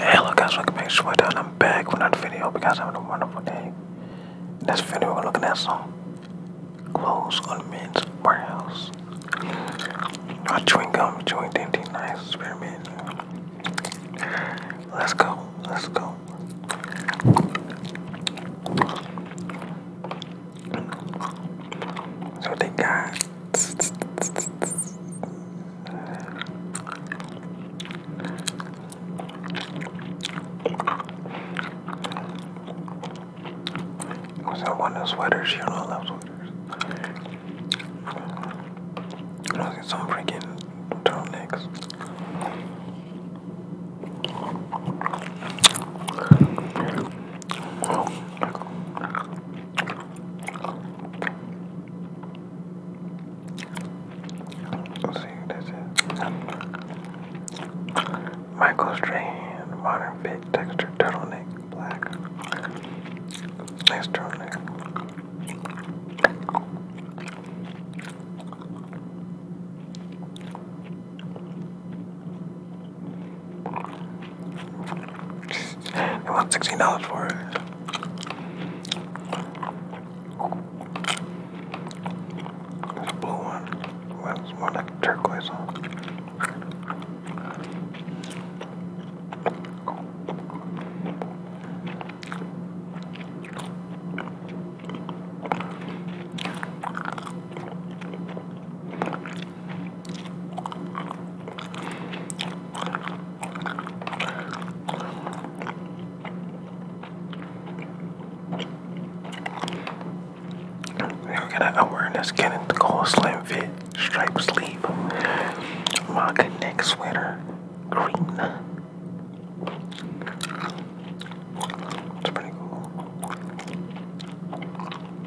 Hello guys, welcome back to and I'm back with another video. Hope you guys having a wonderful day. this video, we're looking at some clothes on men's warehouse. Not chewing gum, chewing dainty, nice experiment. Let's go, let's go. So they got was that one of those sweaters? You know, I love sweaters. I was get some freaking turtlenecks. Oh, Let's see, that's Michael Strahan, modern fit, texture, turtleneck, black. Nice turtleneck. I want sixteen dollars for it. It's a blue one. It's more like a turquoise one. You're going awareness getting the cold slim fit, stripe sleeve, mock neck sweater, green. It's pretty cool.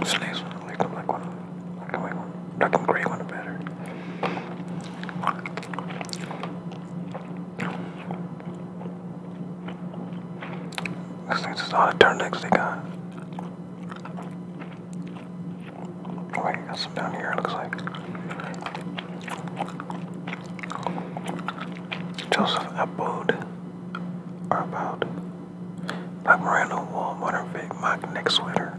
This nice I like the black one, black and white one, black and gray one better. This thing's just all the turnips got. Oh, wait, got some down here looks like. Joseph Abboud are about like random wall modern Vic mock neck sweater.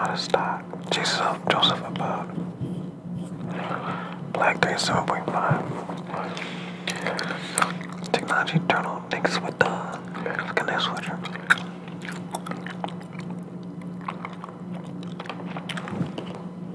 Out of stock. Jesus up, Joseph above. Black 37.5. Technology journal niggas with the look at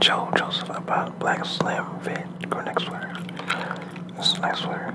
Joe Joseph about Black slim Vid. Go next sweater. This is nice sweater.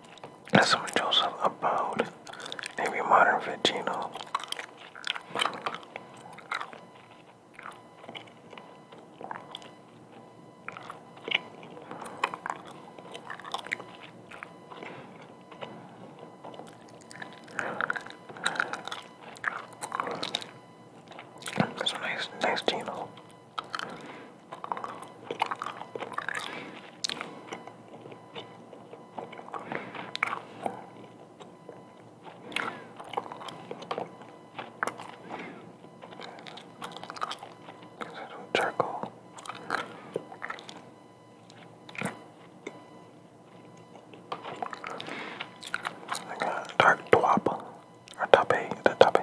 That's what Joseph Abode, Navy modern Vegino. So nice, nice Gino charcoal. I got dark twop or tope, the tope.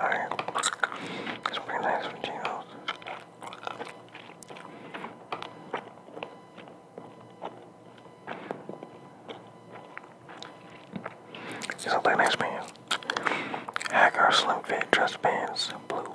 Alright, let's bring that some Geno's. These look nice pants. Hacker Slim Fit Dress Pants Blue.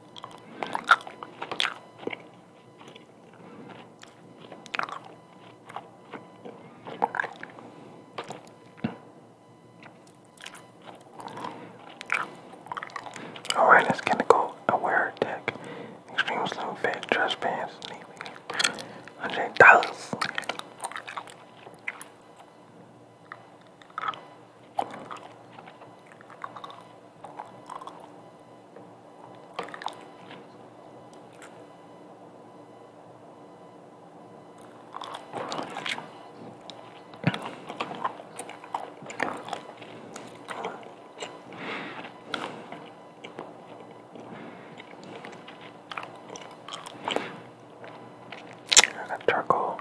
Alright, it's gonna go aware deck. Extreme slim fit, dress pants, $100. I got charcoal.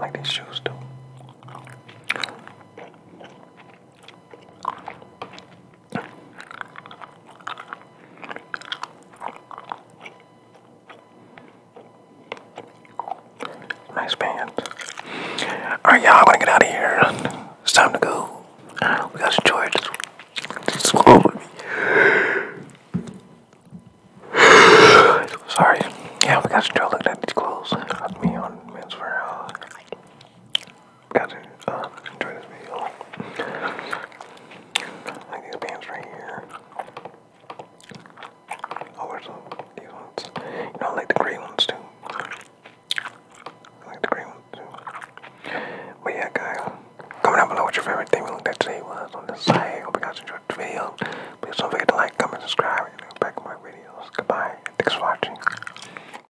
like these shoes do. Nice band Alright, y'all, I'm gonna get out of here. It's time to go. We got to enjoy it. Just swallow with me. Sorry. Yeah, we got to enjoy looking at these clothes. Me on men's wear guys uh, who this video. Like these pants right here. Oh, there's some these ones. You know, I like the gray ones too. like the gray ones too. But yeah, guys, comment down below what your favorite thing we looked at today was on this site. Hope you guys enjoyed the video. Please don't forget to like, comment, subscribe, and look back videos. Goodbye. Thanks for watching.